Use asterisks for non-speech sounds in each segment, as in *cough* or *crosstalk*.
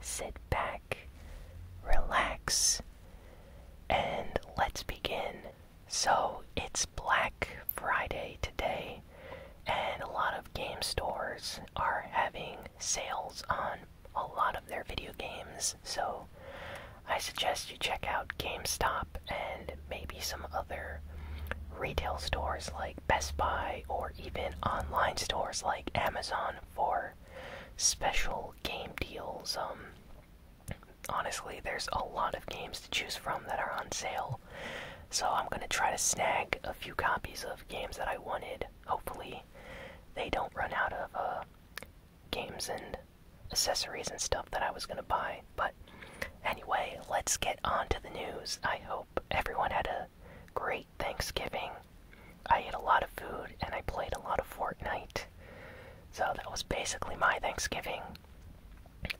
sit back, relax, and let's begin. So, it's Black Friday today, and a lot of game stores are having sales on a lot of their video games, so I suggest you check out GameStop and maybe some other retail stores like Best Buy or even online stores like Amazon for special game deals. Um, honestly, there's a lot of games to choose from that are on sale, so I'm gonna try to snag a few copies of games that I wanted. Hopefully, they don't run out of uh, games and accessories and stuff that I was gonna buy. But anyway, let's get on to the news. I hope everyone had a great. Thanksgiving. I ate a lot of food and I played a lot of Fortnite. So that was basically my Thanksgiving.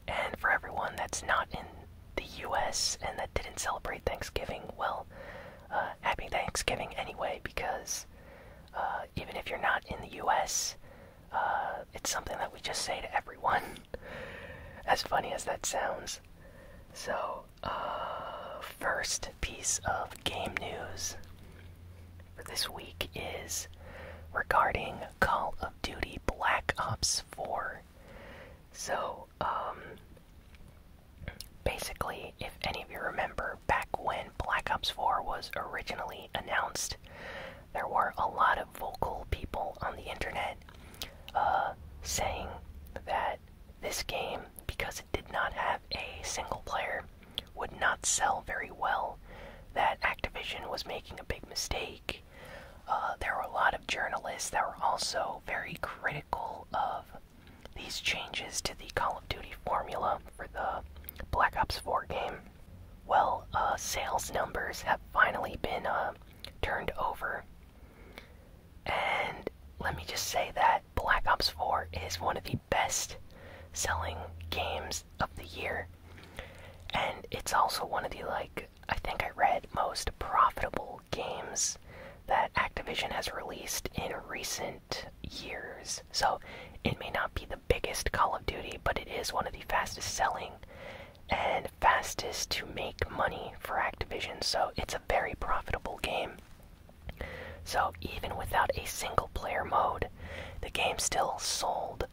And for everyone that's not in the US and that didn't celebrate Thanksgiving, well, uh, happy Thanksgiving anyway, because uh, even if you're not in the US, uh, it's something that we just say to everyone. *laughs* as funny as that sounds. So, uh, first piece of game news for this week is regarding Call of Duty Black Ops 4. So, um, basically, if any of you remember back when Black Ops 4 was originally announced, there were a lot of vocal people on the internet uh, saying that this game, because did not have a single player, would not sell very well, that Activision was making a big mistake. Uh, there were a lot of journalists that were also very critical of these changes to the Call of Duty formula for the Black Ops 4 game. Well, uh, sales numbers have finally been uh, turned over. And let me just say that Black Ops 4 is one of the best selling games of the year. And it's also one of the, like, I think I read most profitable games that Activision has released in recent years. So it may not be the biggest Call of Duty, but it is one of the fastest selling and fastest to make money for Activision. So it's a very profitable game. So, even without a single player mode, the game still sold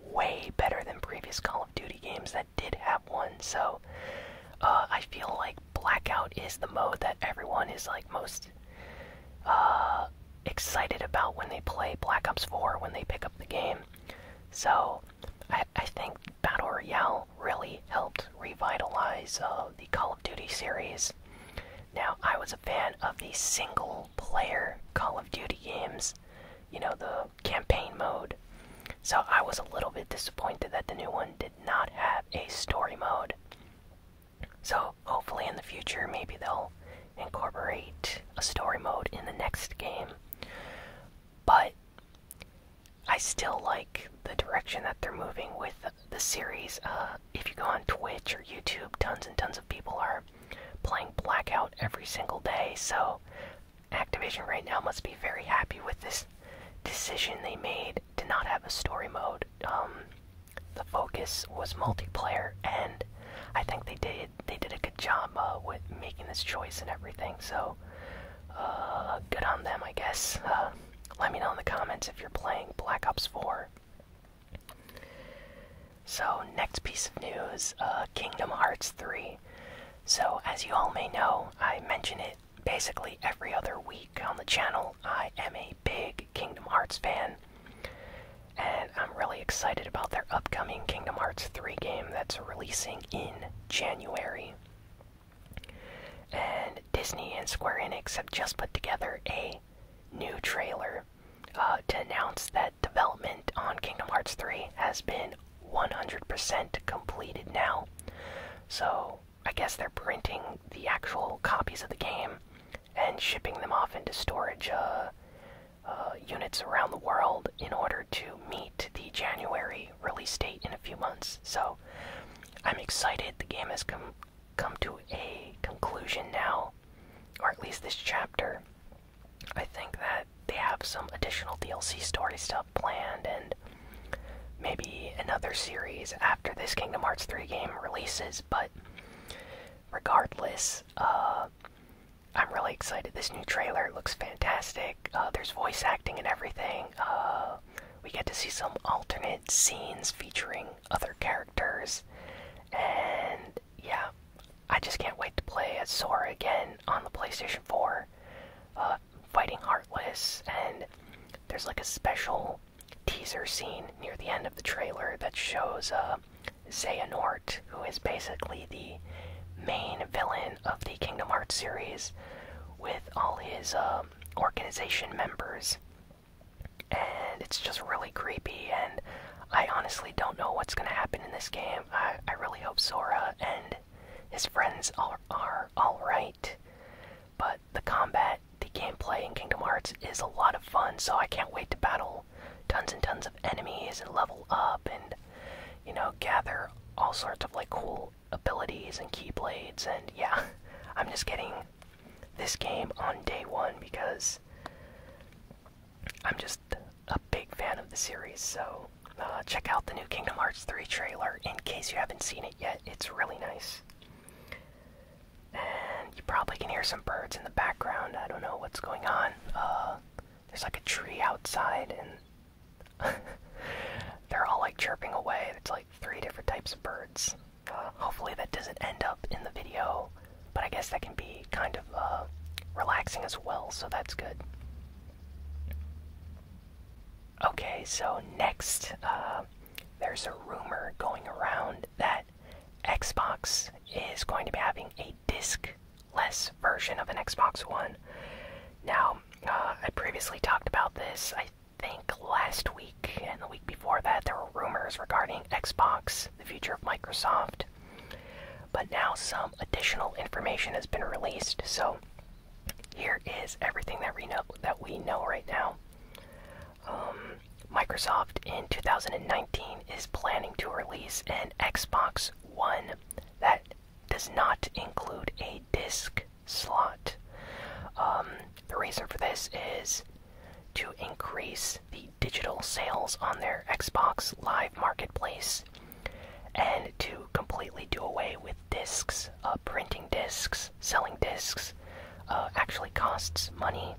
way better than previous Call of Duty games that did have one. So, uh, I feel like Blackout is the mode that everyone is like most uh, excited about when they play Black Ops 4 when they pick up the game. So, I think Battle Royale really helped revitalize uh, the Call of Duty series. Now, I was a fan of the single player Call of Duty games, you know, the campaign mode. So I was a little bit disappointed that the new one did not have a story mode. So hopefully in the future, maybe they'll incorporate a story mode in the next game. But I still like the direction that they're moving with the series. Uh, if you go on Twitch or YouTube, tons and tons of people are playing Blackout every single day, so Activision right now must be very happy with this decision they made to not have a story mode. Um, the focus was multiplayer, and I think they did they did a good job uh, with making this choice and everything. So, uh, good on them, I guess. Let me know in the comments if you're playing Black Ops 4. So, next piece of news uh, Kingdom Hearts 3. So, as you all may know, I mention it basically every other week on the channel. I am a big Kingdom Hearts fan, and I'm really excited about their upcoming Kingdom Hearts 3 game that's releasing in January. And Disney and Square Enix have just put together a new trailer uh, to announce that development on Kingdom Hearts 3 has been 100% completed now. So I guess they're printing the actual copies of the game and shipping them off into storage uh, uh, units around the world in order to meet the January release date in a few months. So I'm excited. The game has come come to a conclusion now, or at least this chapter. I think that they have some additional DLC story stuff planned and maybe another series after this Kingdom Hearts 3 game releases, but regardless, uh, I'm really excited. This new trailer looks fantastic. Uh, there's voice acting and everything. Uh, we get to see some alternate scenes featuring other characters, and yeah, I just can't wait to play as Sora again on the PlayStation 4, uh, fighting Heartless, and there's like a special teaser scene near the end of the trailer that shows uh, a Xehanort, who is basically the main villain of the Kingdom Hearts series, with all his uh, um, organization members. And it's just really creepy, and I honestly don't know what's going to happen in this game. I, I really hope Sora and his friends are, are alright. But the combat, the gameplay in Kingdom Hearts is a lot of fun, so I can't wait to battle tons and tons of enemies and level up and, you know, gather all sorts of like cool abilities and keyblades, and yeah, *laughs* I'm just getting this game on day one because I'm just a big fan of the series. So uh, check out the new Kingdom Hearts 3 trailer in case you haven't seen it yet. It's really nice. And you probably can hear some birds in the background. I don't know what's going on. Uh, there's like a tree outside, and *laughs* They're all like chirping away. It's like three different types of birds. hopefully, that doesn't end up in the video, but I guess that can be kind of uh, relaxing as well, so that's good. Okay, so next, uh, there's a rumor going around that Xbox is going to be having a disc-less version of an Xbox One. Now, uh, I previously talked about this think last week and the week before that there were rumors regarding Xbox, the future of Microsoft. But now some additional information has been released, so here is everything that we know that we know right now. Um, Microsoft in 2019 is planning to release an Xbox One that does not include a disc slot. Um, the reason for this is to increase the digital sales on their Xbox Live Marketplace and to completely do away with discs. Uh, printing discs, selling discs uh, actually costs money,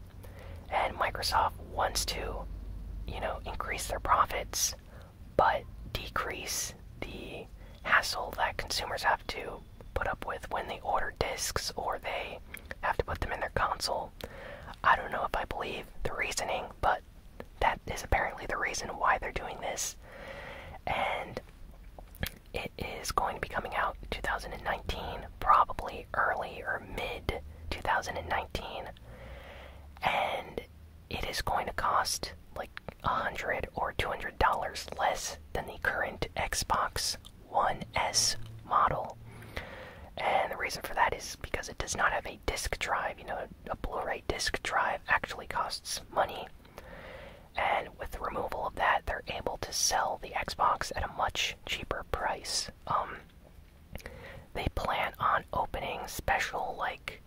and Microsoft wants to, you know, increase their profits but decrease the hassle that consumers have to put up with when they order discs or they have to put them in their console. I don't know if I believe the reasoning, but that is apparently the reason why they're doing this. And it is going to be coming out 2019, probably early or mid 2019. And it is going to cost like 100 or $200 less than the current Xbox One S model. And the reason for that is because it does not have a disk drive. You know, a Blu ray disk drive actually costs money. And with the removal of that, they're able to sell the Xbox at a much cheaper price. Um, they plan on opening special, like,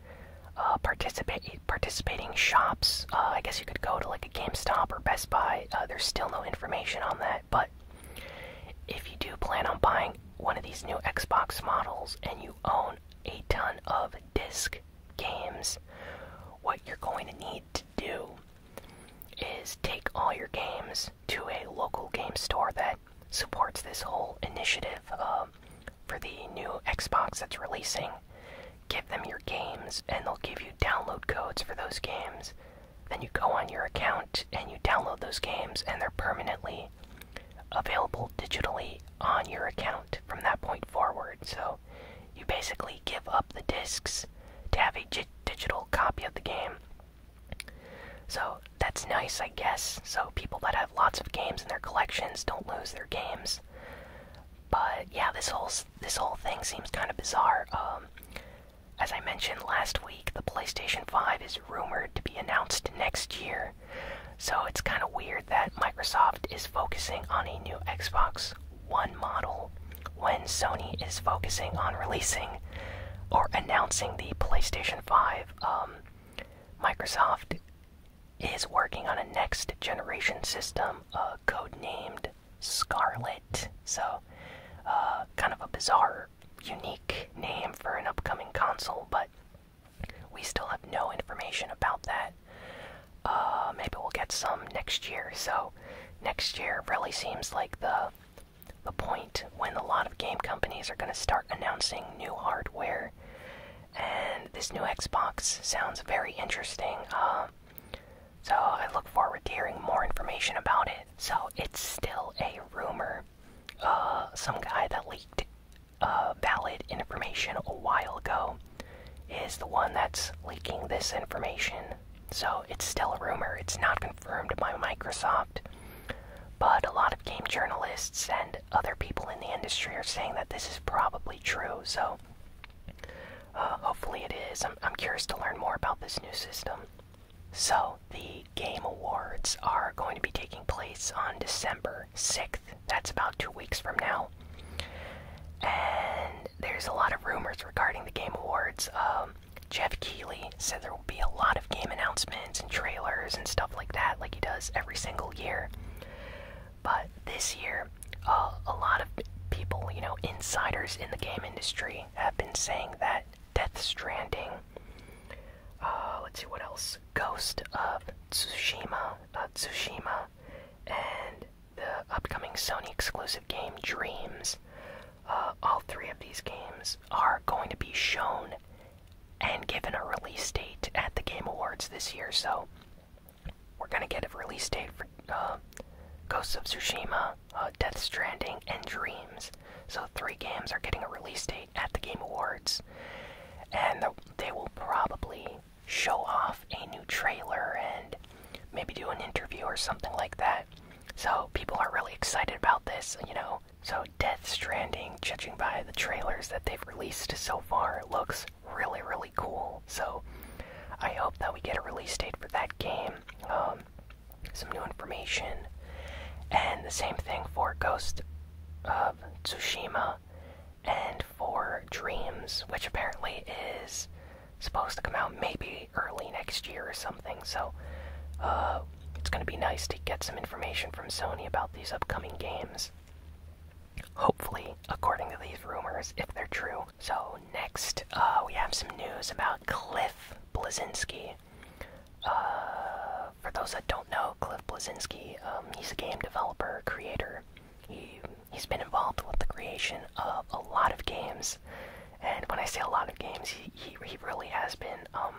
uh, participate participating shops. Uh, I guess you could go to like a GameStop or Best Buy. Uh, there's still no information on that, but if you do plan on buying one of these new Xbox models and you own a ton of disc games, what you're going to need to do is take all your games to a local game store that supports this whole initiative for the new Xbox that's releasing. Give them your games, and they'll give you download codes for those games. Then you go on your account and you download those games, and they're permanently available digitally on your account from that point forward. So you basically give up the discs to have a digital copy of the game. So that's nice, I guess. So people that have lots of games in their collections don't lose their games. But yeah, this whole this whole thing seems kind of bizarre. Um, as I mentioned last week, the PlayStation 5 is rumored to be announced next year. So it's kind of weird that Microsoft is focusing on a new Xbox One model when Sony is focusing on releasing or announcing the PlayStation 5. Um, Microsoft is working on a next generation system code-named Scarlet. So, uh, kind of a bizarre, unique name for an upcoming console, but we still have no information about that. Uh, maybe we'll get some next year. So, next year really seems like the the point when a lot of game companies are going to start announcing new hardware and this new Xbox sounds very interesting. Uh, so I look forward to hearing more information about it. So it's still a rumor. Uh, some guy that leaked uh, valid information a while ago is the one that's leaking this information. So it's still a rumor. It's not confirmed by Microsoft. But a lot of game journalists and other people in the industry are saying that this is probably true. So uh, hopefully it is. curious to learn more about this new system. So the Game Awards are going to be taking place on December 6th. That's about two weeks from now. And there's a lot of rumors regarding the Game Awards. Um, Jeff Keighley said there will be a lot of game announcements and trailers and stuff like that, like he does every single year. But this year, uh, a lot of people, you know, insiders in the game industry have been saying that Death Stranding, uh, let's see what else, Ghost of Tsushima, uh, Tsushima, and the upcoming Sony exclusive game Dreams, all three of these games are going to be shown and given a release date at the Game Awards this year. So we're gonna get a release date for uh, Ghosts of Tsushima, uh, Death Stranding, and Dreams. So three games are getting a release date at the Game Awards, and they will probably show off a new trailer and maybe do an interview or something like that. So people are really excited about this, you know. So Death Stranding, judging by the trailers that they've released so far, looks really, really cool. So I hope that we get a release date for that game, um, some new information, and the same thing for Ghost of Tsushima and for Dreams, which apparently is supposed to come out maybe early next year or something. So uh, it's going to be nice to get some information from Sony about these upcoming games. Hopefully, according to these rumors, if they're true. So, next, uh, we have some news about Cliff Blazinsky. Uh, for those that don't know, Cliff Blazinsky, um, he's a game developer, creator. He, he's been involved with the creation of a lot of games. And when I say a lot of games, he, he, he really has been, um,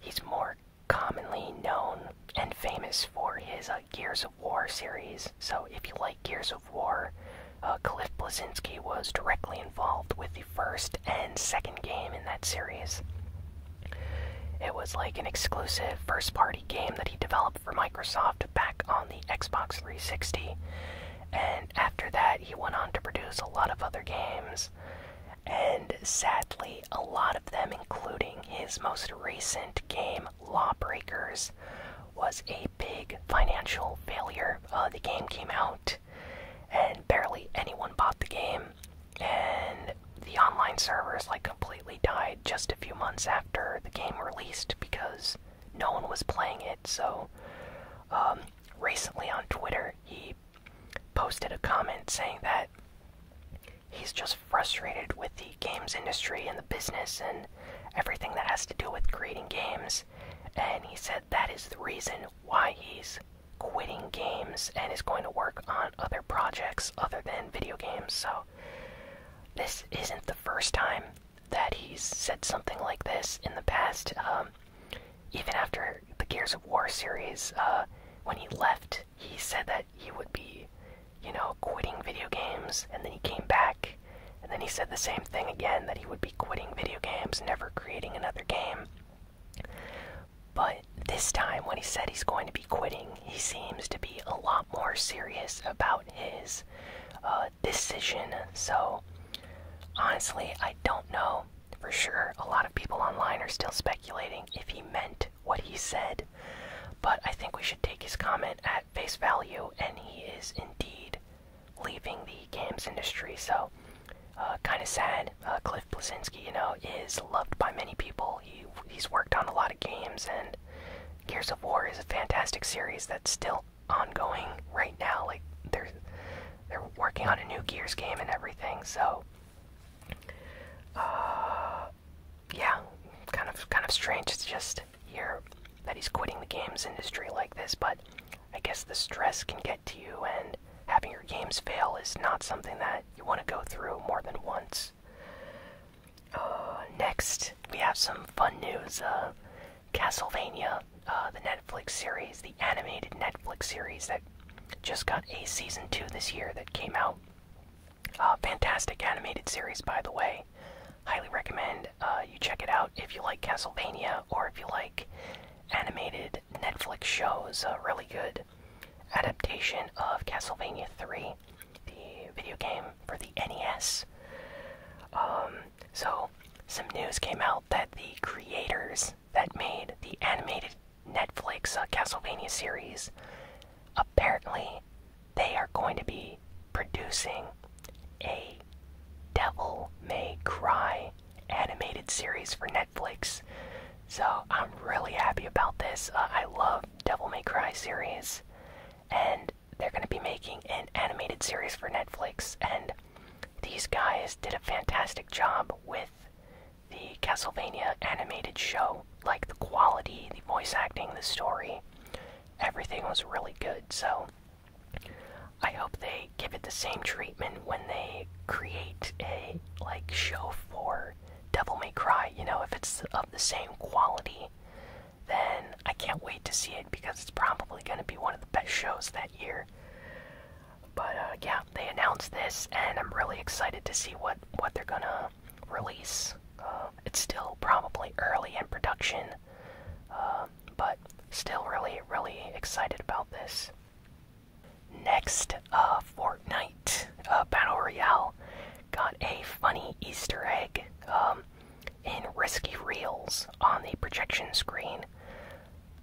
he's more commonly known and famous for his uh, Gears of War series. So, if you like Gears of War, uh, Cliff Blazinski was directly involved with the first and second game in that series. It was like an exclusive first party game that he developed for Microsoft back on the Xbox 360. And after that, he went on to produce a lot of other games. And sadly, a lot of them, including his most recent game, Lawbreakers, was a big financial failure. Uh, the game came out, and barely anyone bought the game, and the online servers like completely died just a few months after the game released because no one was playing it. So, um, recently on Twitter, he posted a comment saying that he's just frustrated with the games industry and the business and everything that has to do with creating games. And he said that is the reason why he's quitting games and is going to work on other projects other than video games. So, this isn't the first time that he's said something like this in the past. Um, even after the Gears of War series, uh, when he left he said that he would be, you know, quitting video games, and then he came back, and then he said the same thing again that he would be quitting video games, never creating another game. But this time, when he said he's going to be quitting, he seems to be a lot more serious about his uh, decision. So, honestly, I don't know for sure. A lot of people online are still speculating if he meant what he said, but I think we should take his comment at face value, and he is indeed leaving the games industry. So, uh, kind of sad. Uh, Cliff Blazinski, you know, is loved by many people. He he's worked on a lot of games, and Gears of War is a fantastic series that's still ongoing right now. Like they're they're working on a new Gears game and everything. So. Uh, yeah, kind of kind of strange. It's just here that he's quitting the games industry like this, but I guess the stress can get to you, and having your games fail is not something that you want to go through more than once. Uh, next, we have some fun news. Uh, Castlevania, uh, the Netflix series, the animated Netflix series that just got a season two this year that came out uh, fantastic animated series, by the way. Highly recommend uh, you check it out if you like Castlevania or if you like animated Netflix shows. A uh, really good adaptation of Castlevania 3, the video game for the NES. Um, so, some news came out that the creators that made the animated Netflix uh, Castlevania series. Apparently, they are going to be producing a Devil May Cry animated series for Netflix. So I'm really happy about this. Uh, I love Devil May Cry series, and they're going to be making an animated series for Netflix. And these guys did a fantastic job with the Castlevania animated show. Like the quality, the voice acting, the story, everything was really good. So I hope they give it the same treatment when they create a like show for Devil May Cry. You know, if it's of the same quality, then I can't wait to see it because it's probably going to be one of the best shows that year. But uh, yeah, they announced this, and I'm really excited to see what what they're gonna release. Uh, it's still probably early in production, uh, but still really really excited about this. Next, uh, Fortnite uh, Battle Royale got a funny Easter egg um, in Risky Reels on the projection screen.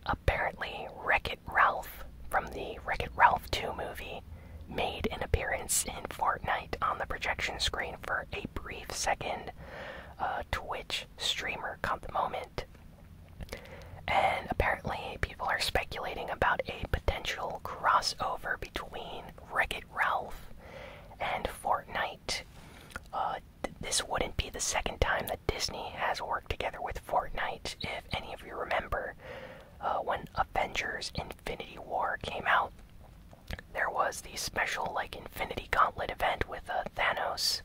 Apparently, Wreck It Ralph from the Wreck It Ralph 2 movie made an appearance in Fortnite on the projection screen for a brief second. Uh, Twitch streamer caught the moment. And apparently, people are speculating about a potential crossover between Wreck It Ralph and Fortnite. Uh, this wouldn't be the second time that Disney has worked together with Fortnite, if any of you remember. Uh, when Avengers Infinity War came out, there was the special like Infinity Gauntlet event with uh, Thanos,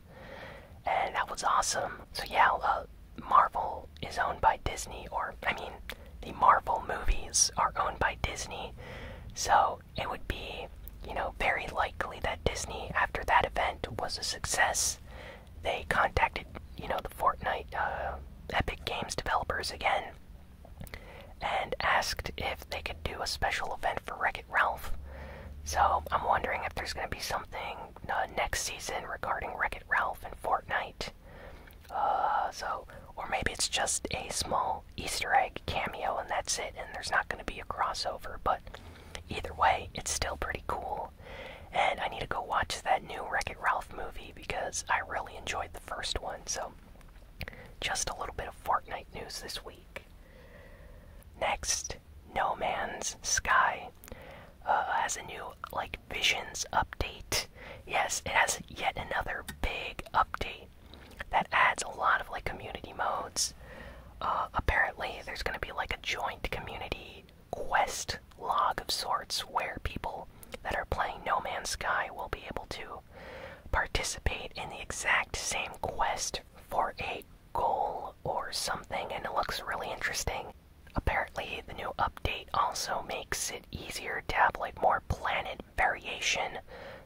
and that was awesome. So yeah, uh, Marvel is owned by Disney, or I mean, the Marvel movies are owned by Disney. So it would be, you know, very likely that Disney after that event was a success they contacted you know the Fortnite uh, Epic Games developers again and asked if they could do a special event for Wreck-It Ralph. So I'm wondering if there's going to be something uh, next season regarding Wreck-It Ralph and Fortnite. Uh, so, or maybe it's just a small Easter egg cameo and that's it, and there's not going to be a crossover. But either way, it's still pretty cool and I need to go watch that new Wreck It Ralph movie because I really enjoyed the first one. So, just a little bit of Fortnite news this week. Next, No Man's Sky uh, has a new, like, Visions update. Yes, it has yet another big update that adds a lot of, like, community modes. Uh, apparently, there's going to be, like, a joint community quest log of sorts where people that are playing No Man's Sky will be able to participate in the exact same quest for a goal or something, and it looks really interesting. Apparently, the new update also makes it easier to have like more planet variation,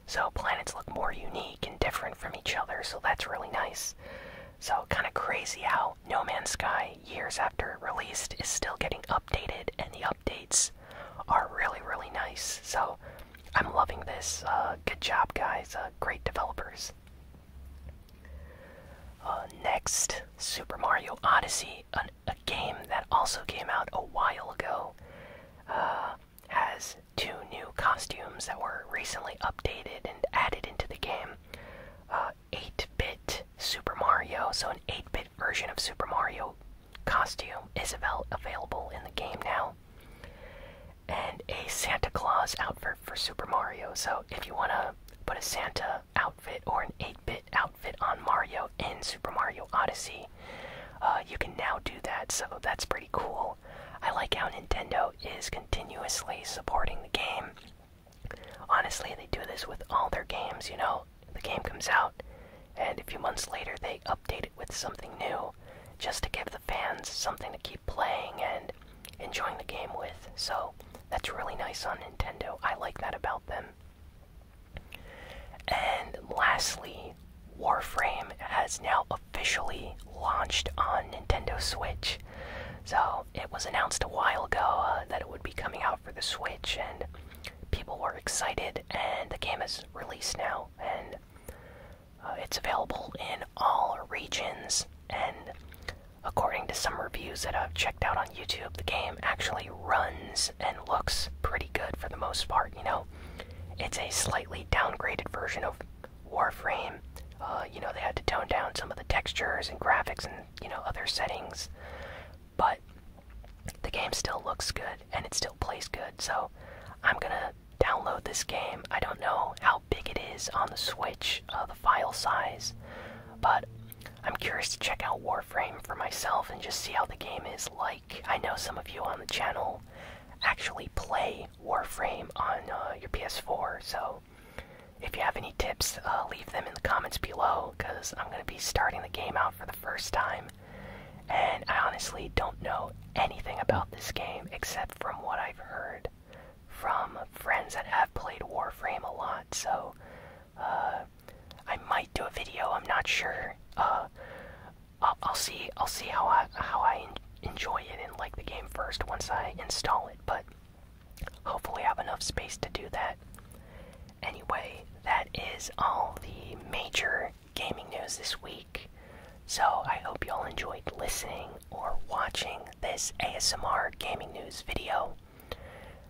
so planets look more unique and different from each other, so that's really nice. So, kind of crazy how no Man's Sky, years after released, is still getting updated, and the updates are really, really nice. So I'm loving this. Uh, good job, guys. Uh, great developers. Uh, next, Super Mario Odyssey, a game that also came out a while ago, has two new costumes that were recently updated and added into the game. 8-bit Super Mario, so an 8-bit version of Super Mario costume is available in the game now. And a Santa Claus outfit for Super Mario. So if you want to put a Santa outfit or an 8-bit outfit on Mario in Super Mario Odyssey, uh, you can now do that. So that's pretty cool. I like how Nintendo is continuously supporting the game. Honestly, they do this with all their games, you know? The game comes out, and a few months later they update it with something new just to give the fans something to keep playing and enjoying the game with. So, that's really nice on Nintendo. I like that about them. And lastly, Warframe has now officially launched on Nintendo Switch. So, it was announced a while ago uh, that it would be coming out for the Switch, and people were excited. And the game is released now, and uh, it's available in all regions. And according to some reviews that I've checked out on YouTube, the game actually runs and looks pretty good for the most part. You know, it's a slightly downgraded version of Warframe. Uh, you know, they had to tone down some of the textures and graphics and you know other settings, but the game still looks good and it still plays good. So I'm gonna download this game. I don't know how big it is on the Switch, uh, the file size, but I'm curious to check out Warframe for myself and just see how the game is like. I know some of you on the channel actually play Warframe on uh, your PS4, so if you have any tips, uh, leave them in the comments below because I'm going to be starting the game out for the first time. And I honestly don't know anything about this game except from what I've heard from friends that have played Warframe a lot. So uh, I might do a video. I'm not sure. Uh, I'll, I'll see. I'll see how I how I enjoy it and like the game first once I install it. But Hopefully, have enough space to do that. Anyway, that is all the major gaming news this week. So, I hope you all enjoyed listening or watching this ASMR gaming news video.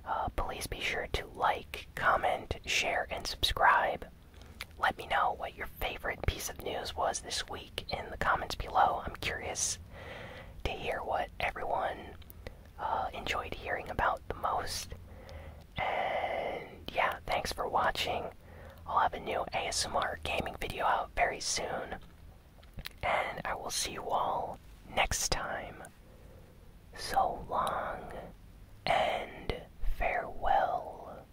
Uh, please be sure to like, comment, share, and subscribe. Let me know what your favorite piece of news was this week in the comments below. I'm curious to hear what everyone uh, enjoyed hearing about the most. And yeah, thanks for watching. I'll have a new ASMR gaming video out very soon. And I will see you all next time. So long and farewell.